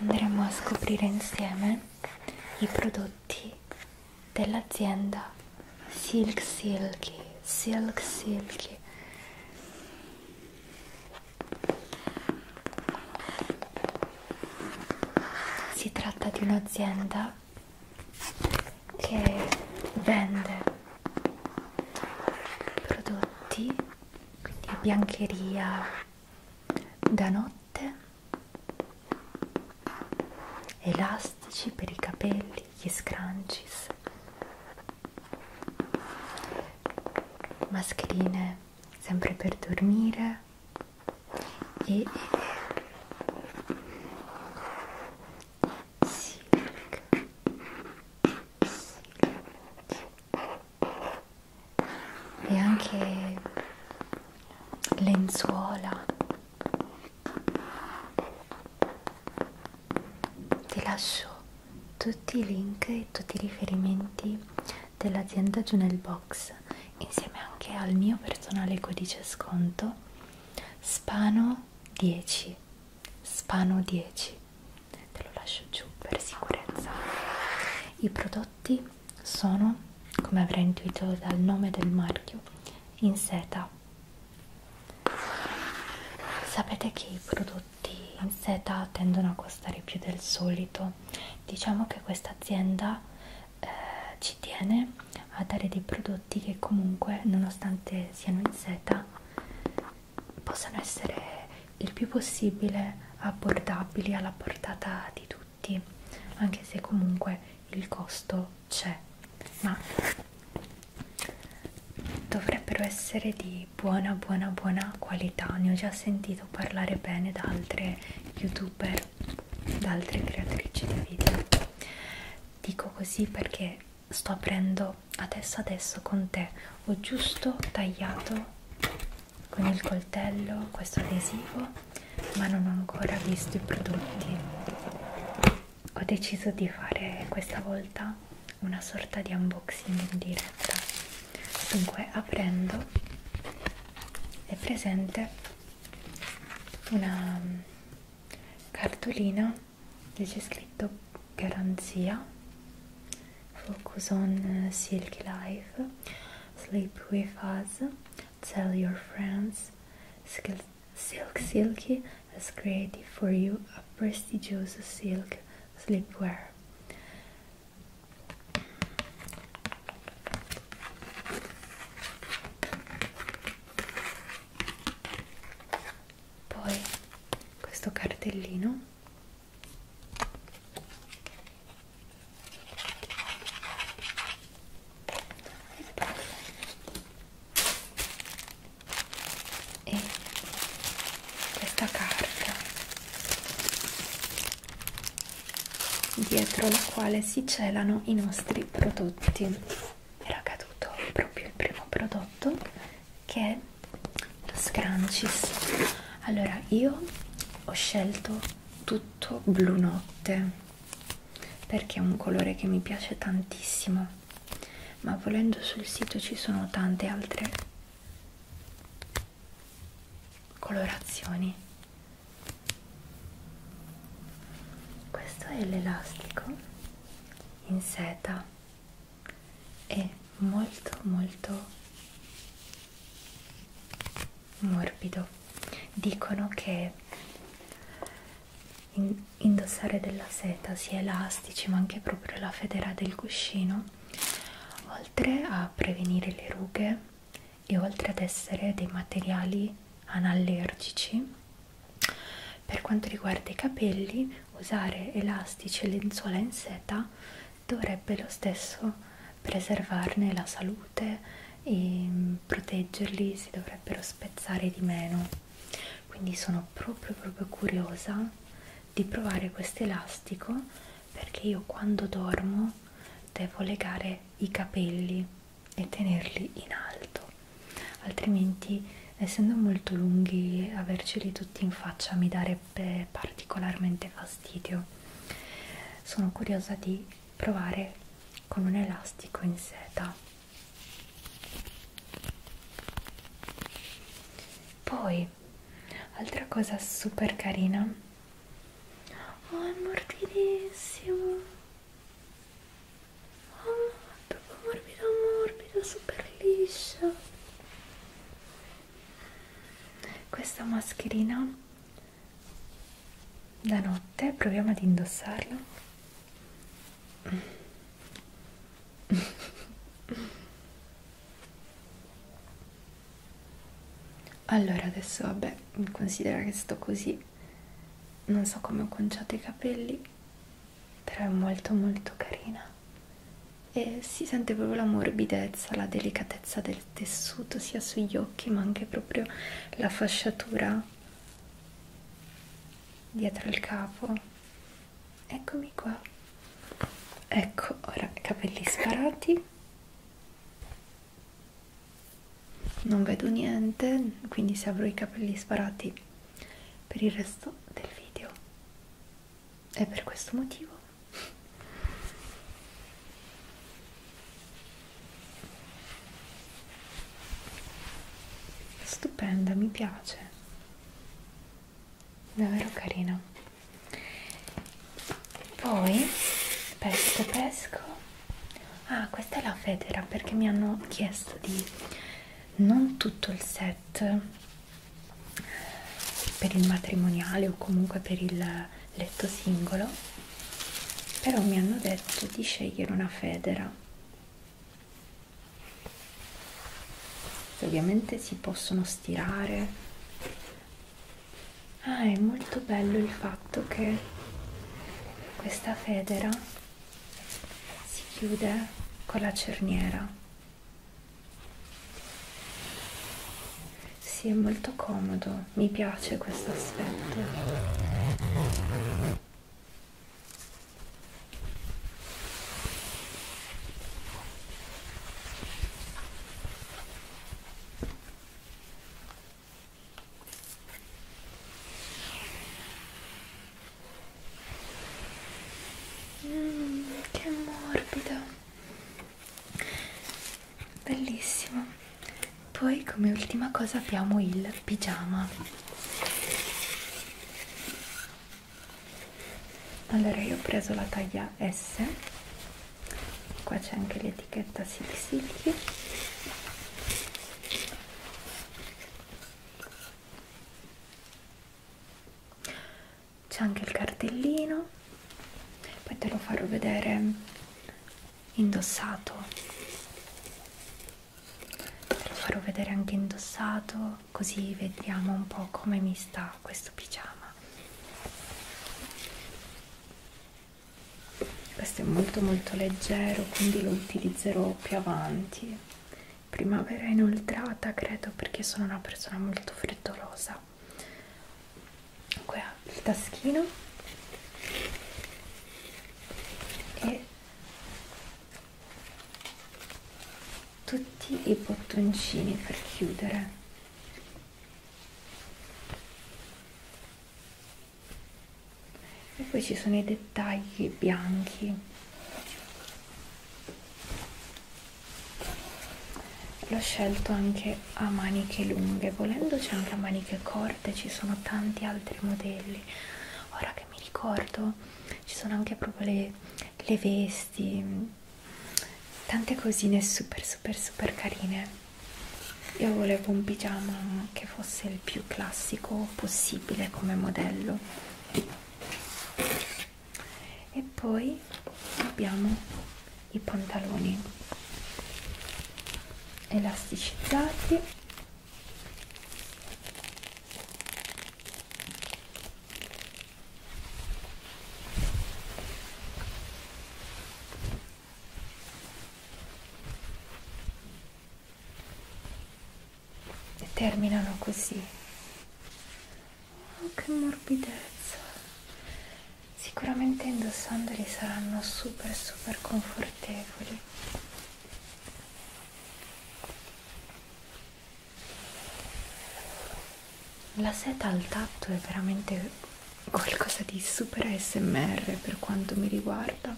andremo a scoprire insieme i prodotti dell'azienda Silk Silky Silk Silky si tratta di un'azienda che vende prodotti quindi biancheria da notte elastici per i capelli gli scrunchies mascherine sempre per dormire e Silk. Silk e anche lenzuola ti lascio tutti i link e tutti i riferimenti dell'azienda giù nel box insieme anche al mio personale codice sconto spano 10 spano 10 te lo lascio giù per sicurezza i prodotti sono come avrei intuito dal nome del marchio in seta sapete che i prodotti in seta tendono a costare più del solito diciamo che questa azienda eh, ci tiene a dare dei prodotti che comunque nonostante siano in seta possano essere il più possibile abbordabili alla portata di tutti, anche se comunque il costo c'è, ma dovrebbero essere di buona buona buona qualità, ne ho già sentito parlare bene da altre youtuber, da altre creatrici di video. Dico così perché sto aprendo adesso adesso con te ho giusto tagliato con il coltello questo adesivo ma non ho ancora visto i prodotti ho deciso di fare questa volta una sorta di unboxing in diretta dunque aprendo è presente una mm, cartolina lì c'è scritto garanzia focus on uh, silky life sleep with us tell your friends silk silky has created for you a prestigious silk sleepwear poi questo cartellino e poi e questa carta dietro la quale si celano i nostri prodotti era caduto proprio il primo prodotto che è lo Scrunchies allora io ho scelto tutto blu notte perché è un colore che mi piace tantissimo ma volendo sul sito ci sono tante altre colorazioni questo è l'elastico in seta è molto molto morbido dicono che in indossare della seta sia elastici ma anche proprio la federa del cuscino oltre a prevenire le rughe e oltre ad essere dei materiali anallergici per quanto riguarda i capelli, usare elastici e lenzuola in seta dovrebbe lo stesso preservarne la salute e mm, proteggerli, si dovrebbero spezzare di meno. Quindi sono proprio proprio curiosa di provare questo elastico perché io quando dormo devo legare i capelli e tenerli in alto altrimenti essendo molto lunghi averceli tutti in faccia mi darebbe particolarmente fastidio sono curiosa di provare con un elastico in seta poi altra cosa super carina oh è morbidissimo oh, proprio morbida morbida super liscia questa mascherina da notte proviamo ad indossarla allora adesso vabbè considera che sto così non so come ho conciato i capelli però è molto molto carina e si sente proprio la morbidezza la delicatezza del tessuto sia sugli occhi ma anche proprio la fasciatura dietro il capo eccomi qua ecco ora capelli sparati non vedo niente quindi se avrò i capelli sparati per il resto del video è per questo motivo stupenda mi piace davvero carina poi pesco pesco Ah, questa è la federa perché mi hanno chiesto di non tutto il set per il matrimoniale o comunque per il letto singolo, però mi hanno detto di scegliere una federa. Ovviamente si possono stirare ah è molto bello il fatto che questa federa si chiude con la cerniera si sì, è molto comodo mi piace questo aspetto Mm, che morbido bellissimo poi come ultima cosa abbiamo il pigiama allora io ho preso la taglia S qua c'è anche l'etichetta Silk Silky c'è anche il cartellino poi te lo farò vedere indossato te lo farò vedere anche indossato così vediamo un po' come mi sta questo pigiama questo è molto molto leggero quindi lo utilizzerò più avanti primavera inoltrata credo perché sono una persona molto freddolosa qua il taschino e tutti i bottoncini per chiudere e poi ci sono i dettagli bianchi l'ho scelto anche a maniche lunghe volendo c'è anche a maniche corte ci sono tanti altri modelli ora che mi ricordo ci sono anche proprio le, le vesti questi tante cosine super super super carine io volevo un pigiama che fosse il più classico possibile come modello e poi abbiamo i pantaloni elasticizzati e terminano così oh, che morbidezza sicuramente indossandoli saranno super super confortevoli la seta al tatto è veramente qualcosa di super ASMR per quanto mi riguarda.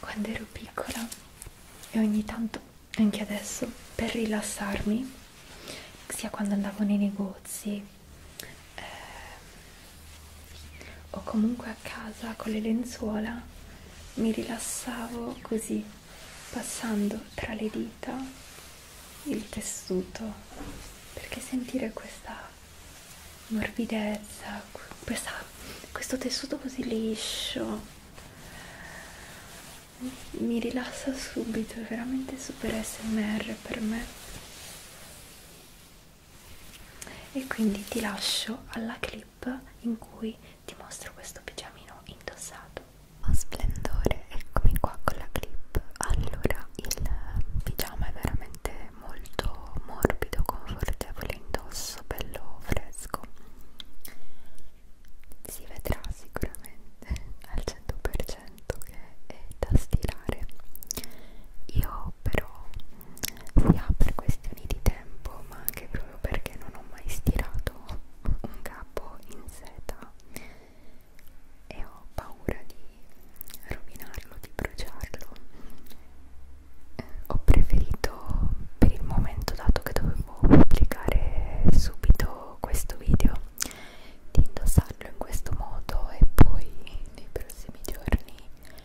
Quando ero piccola e ogni tanto anche adesso per rilassarmi, sia quando andavo nei negozi eh, o comunque a casa con le lenzuola mi rilassavo così passando tra le dita il tessuto perché sentire questa morbidezza questa, questo tessuto così liscio mi rilassa subito è veramente super smr per me e quindi ti lascio alla clip clip in cui ti mostro questo pigiamino indossato oh splendore eccomi qua con la clip allora il pigiama è veramente molto morbido confortevole indosso bello fresco si vedrà sicuramente al 100% che è da stirare io però sia per questioni di tempo ma anche proprio perché non ho mai stirato un capo in seta e ho paura di rovinarlo, di bruciarlo eh, ho preferito per il momento dato che dovevo pubblicare subito questo video di indossarlo in questo modo e poi nei prossimi giorni